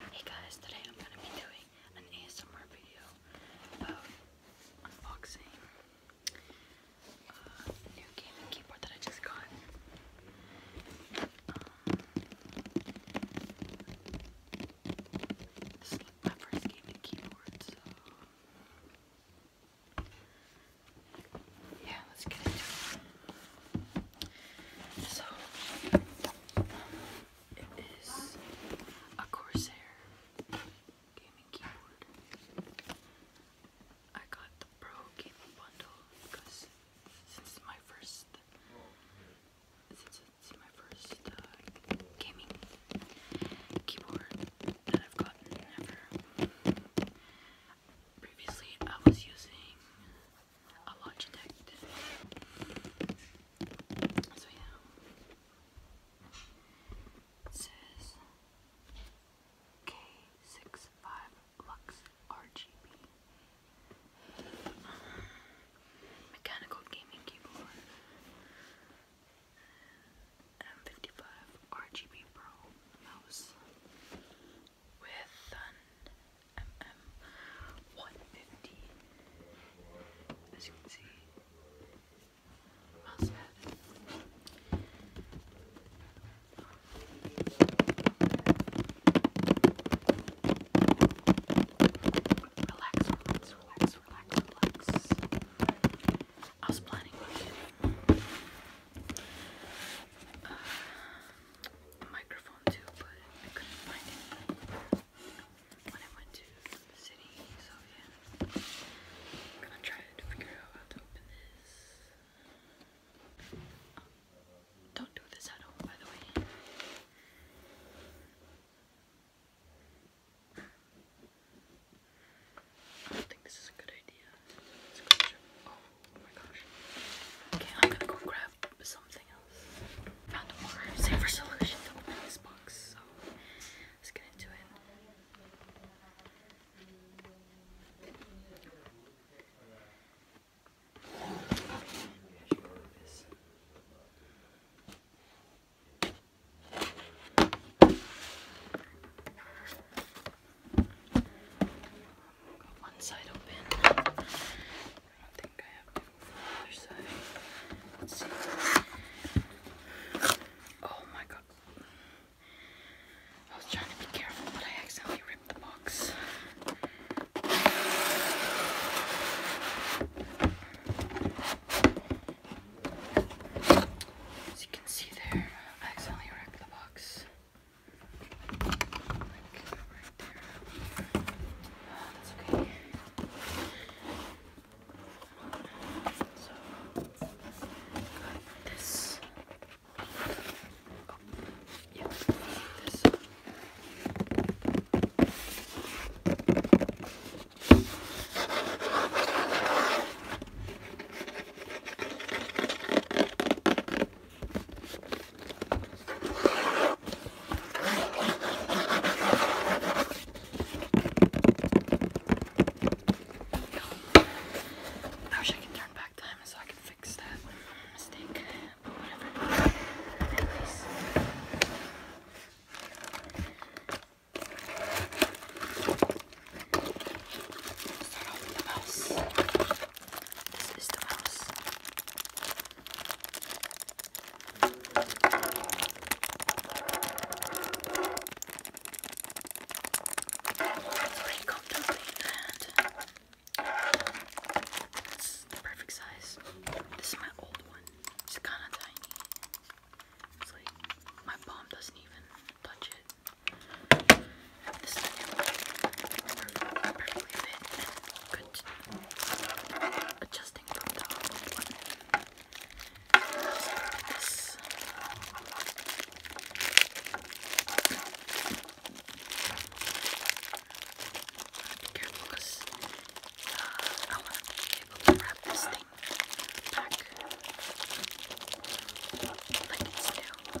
Hey guys, today I'm going to be doing an ASMR video about unboxing uh, new gaming keyboard that I just got. Um, this is my first gaming keyboard, so yeah, let's get into it. So, it is a Corsair gaming keyboard. I got the Pro Gaming Bundle because since my first since it's my first uh, gaming keyboard that I've gotten Previously I was using a Logitech. So it Lux RGB. Mechanical gaming keyboard. M55 RGB Pro mouse with an MM150. As you can see, Relax, relax, relax, relax, I was planning on getting uh, microphone too, but I couldn't find it when I went to the city, so yeah. I'm gonna try to figure out how to open this. Oh, don't do this at home, by the way. I don't think this is a good idea. Oh okay, I'm gonna go grab something else. Found a more safer solution to this box, so let's get into it. Got one side open. I don't think I have the other side. Oh my god. I was trying to be careful, but I accidentally ripped the box. As you can see there, I accidentally ripped the box. Like right there. Oh, that's okay. So got this. Oh, yeah, this. I wish I could turn back time so I could fix that mistake, but whatever. At least. Start off with the mouse. This is the mouse. It's the perfect size. This is my old one. It's kinda tiny. my palm doesn't even touch it. This is a perfectly fit and good adjusting from the one. This. Be careful because uh, I want to be able to wrap this thing back like it's new.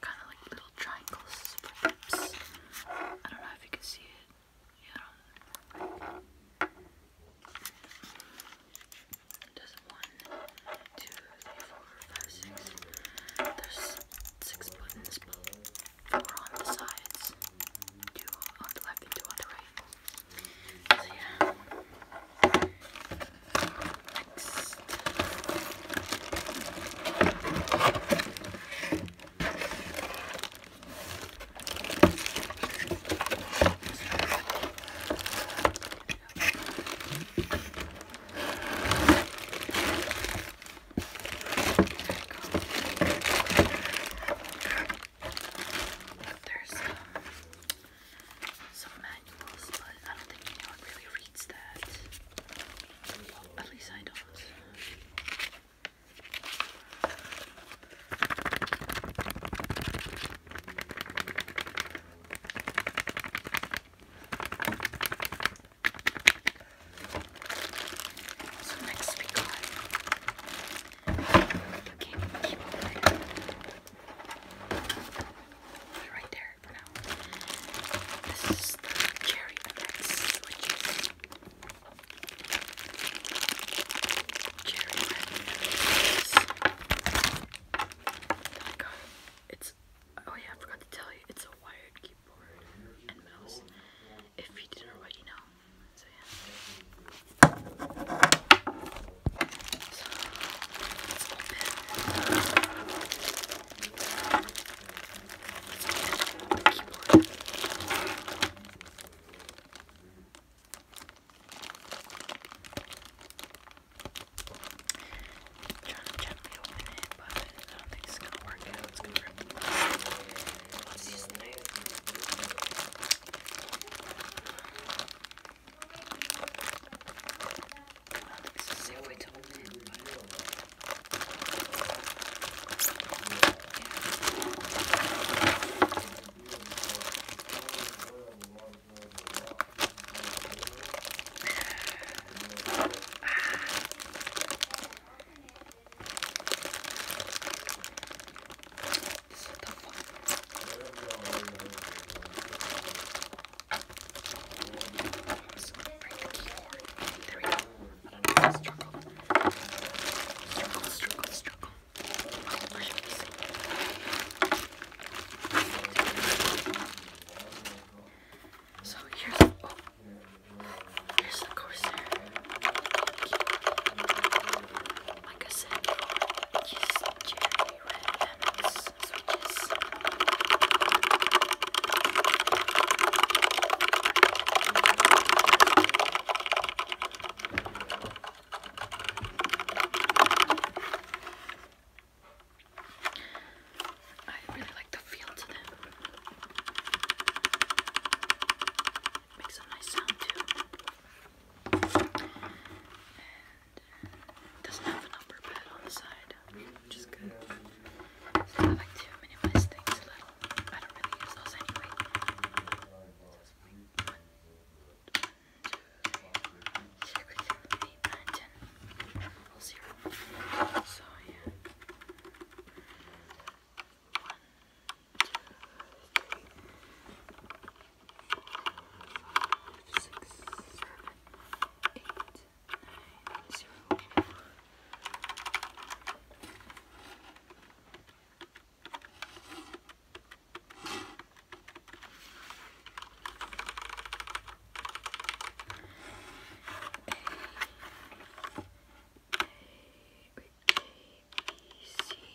kind of like little triangles for lips. I don't know if you can see it. Yeah. There's one, two, three, four, five, six. There's six buttons, four on the sides, two on the left and two on the right. So yeah. Next. There's um, some manuals, but I don't think anyone really reads that. at least I don't. So next we Right there this is the cherry mix, cherry mix. I got it. It's oh yeah, I forgot to tell you, it's a wired keyboard and mouse. If you didn't already know, so yeah trying to gently open it, but I don't think it's gonna work out. It's gonna rip the plastic. Let's use the knife. Alex is ill, I told him. This is the fuck. So break the keyboard. There we go. I don't struggle. Struggle, struggle, struggle. Why am So here's oh here's the Corsair keyboard. Like I said before, it's cherry red MX switches. I really like the feel to them. Makes a nice sound too doesn't have an upper bed on the side, which is good. So I like to minimize things I don't really use those anyway. Zero. So yeah. One, two, three, five, six, seven, eight, nine, zero. A, A, wait, A, B, C, D, E, F, G, H, I, J, K, L, M, N, O, P, Q, R, S, T, U, V, W, X, Y, Z.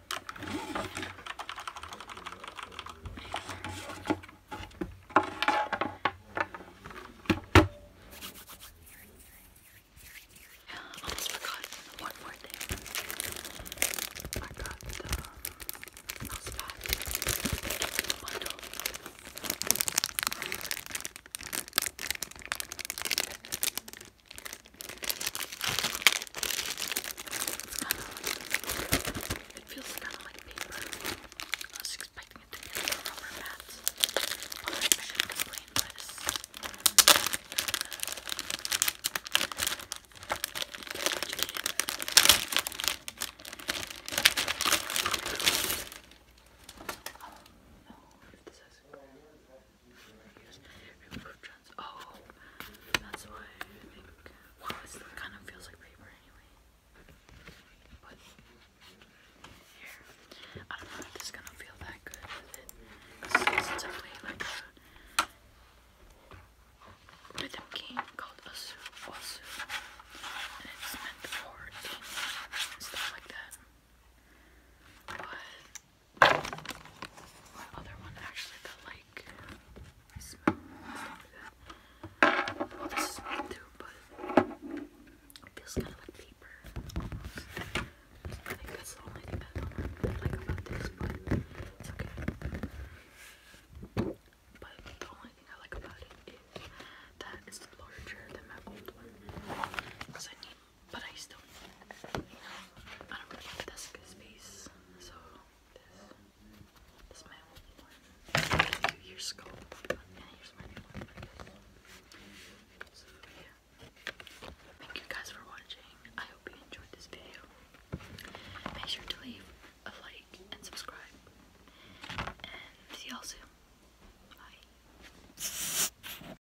I almost forgot one more thing. I got the mouse pad. The bundle. It's kind it feels kind of like paper. I was expecting it to be like rubber mat. But I should Oh, that's why I think. Wow, well, kind of feels like paper anyway. But here, I don't know if it's gonna feel that good It's, definitely like a rhythm game called Asu Wasu, and it's meant for dancing stuff like that. But my other one actually got like I smell like this is too, but feels kinda like paper. I think that's the only thing I don't like about this, But the only thing I like about it is that it's larger than my old one. Because I need but I still, you know, I don't have desk space, so this, this is my old one. Here's scope, and here's my new one. So yeah. Thank you guys for watching. I hope you enjoyed this video. Make sure to leave a like and subscribe. And see y'all soon.